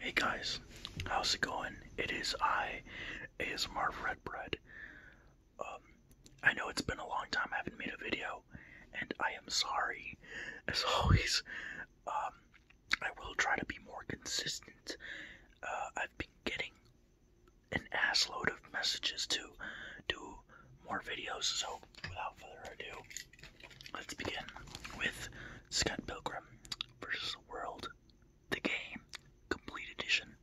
Hey guys, how's it going? It is I, ASMR Marv Redbread. Um, I know it's been a long time I haven't made a video, and I am sorry, as always. Um, I will try to be more consistent. Uh, I've been getting an assload of messages to do more videos, so without further ado, Let's begin with Scott Pilgrim versus the World, the game, complete edition.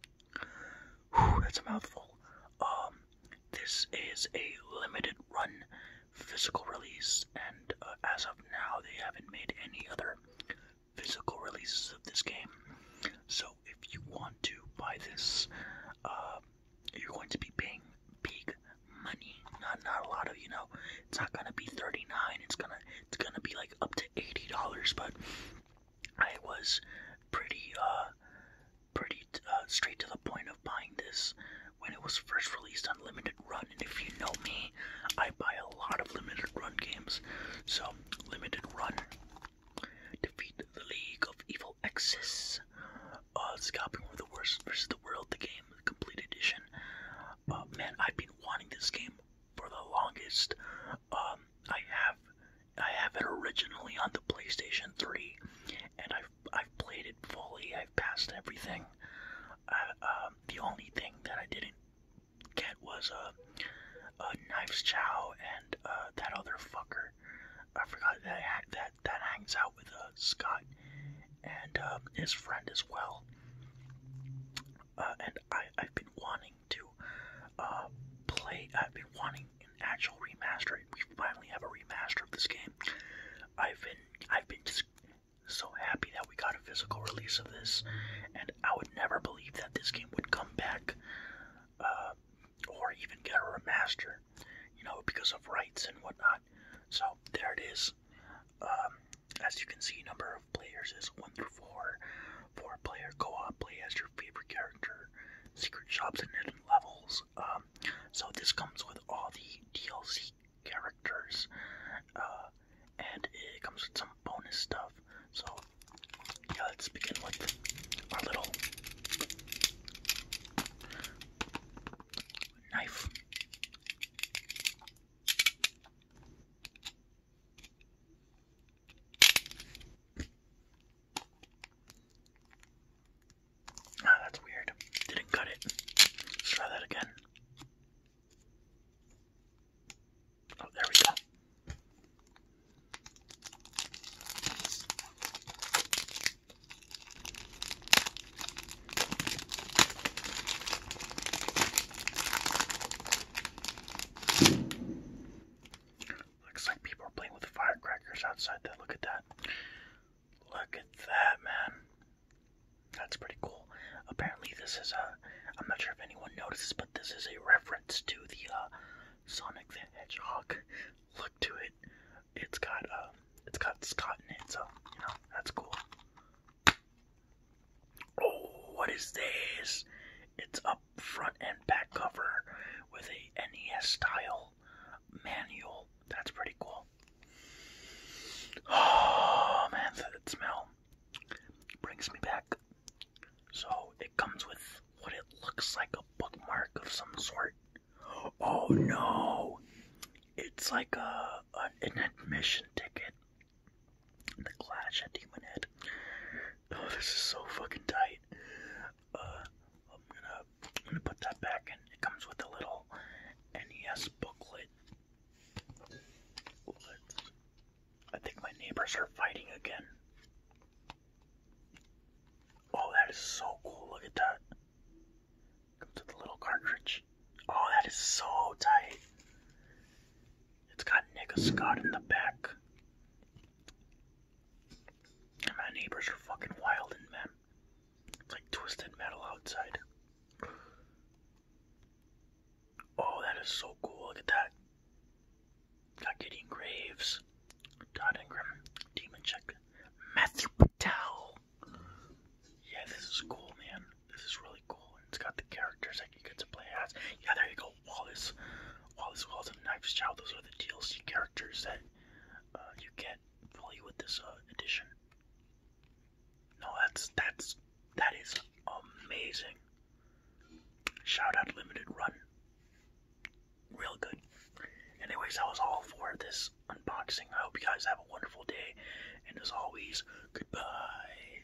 Whew, that's a mouthful. Um, this is a limited run physical release, and uh, as of now, they haven't made any other physical releases of this game. So if you want to buy this, uh, um, you're going to be paying big money. Not not a lot of you know. It's not gonna be thirty nine. It's gonna it's gonna be like up to eighty dollars. But I was pretty uh pretty uh, straight to the point of buying this when it was first released on limited run. And if you know me, I buy a lot of limited run games. So limited run Defeat the League of Evil Exes. Uh, Scalping for the Worst versus the World, the game, the complete edition. Uh, man, I've been wanting this game for the longest. Um, I have, I have it originally on the PlayStation 3, and I've, I've played it fully. I've passed everything. I, uh, um, the only thing that I didn't get was a. Uh, uh, Knives Chow and uh, that other fucker. I forgot that that that hangs out with uh, Scott and um, his friend as well. Uh, and I I've been wanting to play. I've been wanting an actual remaster. We finally have a remaster of this game. I've been I've been just so happy that we got a physical release of this, and I would never believe that this game would come back uh, or even get a remaster, you know, because of rights and whatnot. So there it is. Um, as you can see, number of players is one through four. Four player co-op play as your favorite character. Secret shops and hidden levels. Um, so this comes with all the DLC characters. Uh, and it comes with some bonus stuff. So, yeah, let's begin with our little knife. Ah, that's weird. Didn't cut it. try that again. Oh, there we go. Looks like people are playing with firecrackers outside there. Look at that. Look at that, man. That's pretty cool. Apparently, this is a. Uh, I'm not sure if anyone notices, but this is a reference to the uh, Sonic the Hedgehog look to it. It's got uh, it's got Scott in it, so you know that's cool. Oh, what is this? It's up front and back cover with a NES style manual. That's pretty cool. Oh man, that smell brings me back. So it comes with what it looks like a bookmark of some sort. Oh no! It's like a an admission ticket. The Clash Demon Head. Oh, this is so fucking tight uh, I'm gonna I'm gonna put that back in. It comes with a little NES booklet. I think my neighbors are fighting again. Oh, that is so cool! Look at that. Comes with a little cartridge. Oh, that is so tight. It's got Nick Scott in the back my neighbors are fucking wild and It's like twisted metal outside. Oh, that is so cool. Look at that. Got Gideon Graves, Todd Ingram, Demon Matthew Patel. Yeah, this is cool, man. This is really cool. It's got the characters that you get to play as. Yeah, there you go. Wallace, well, as well as in Knives Chow, those are the DLC characters that uh, you get fully with this uh, edition. No, that's that's that is amazing. Shout out Limited Run. Real good. Anyways, that was all for this unboxing. I hope you guys have a wonderful day, and as always, goodbye.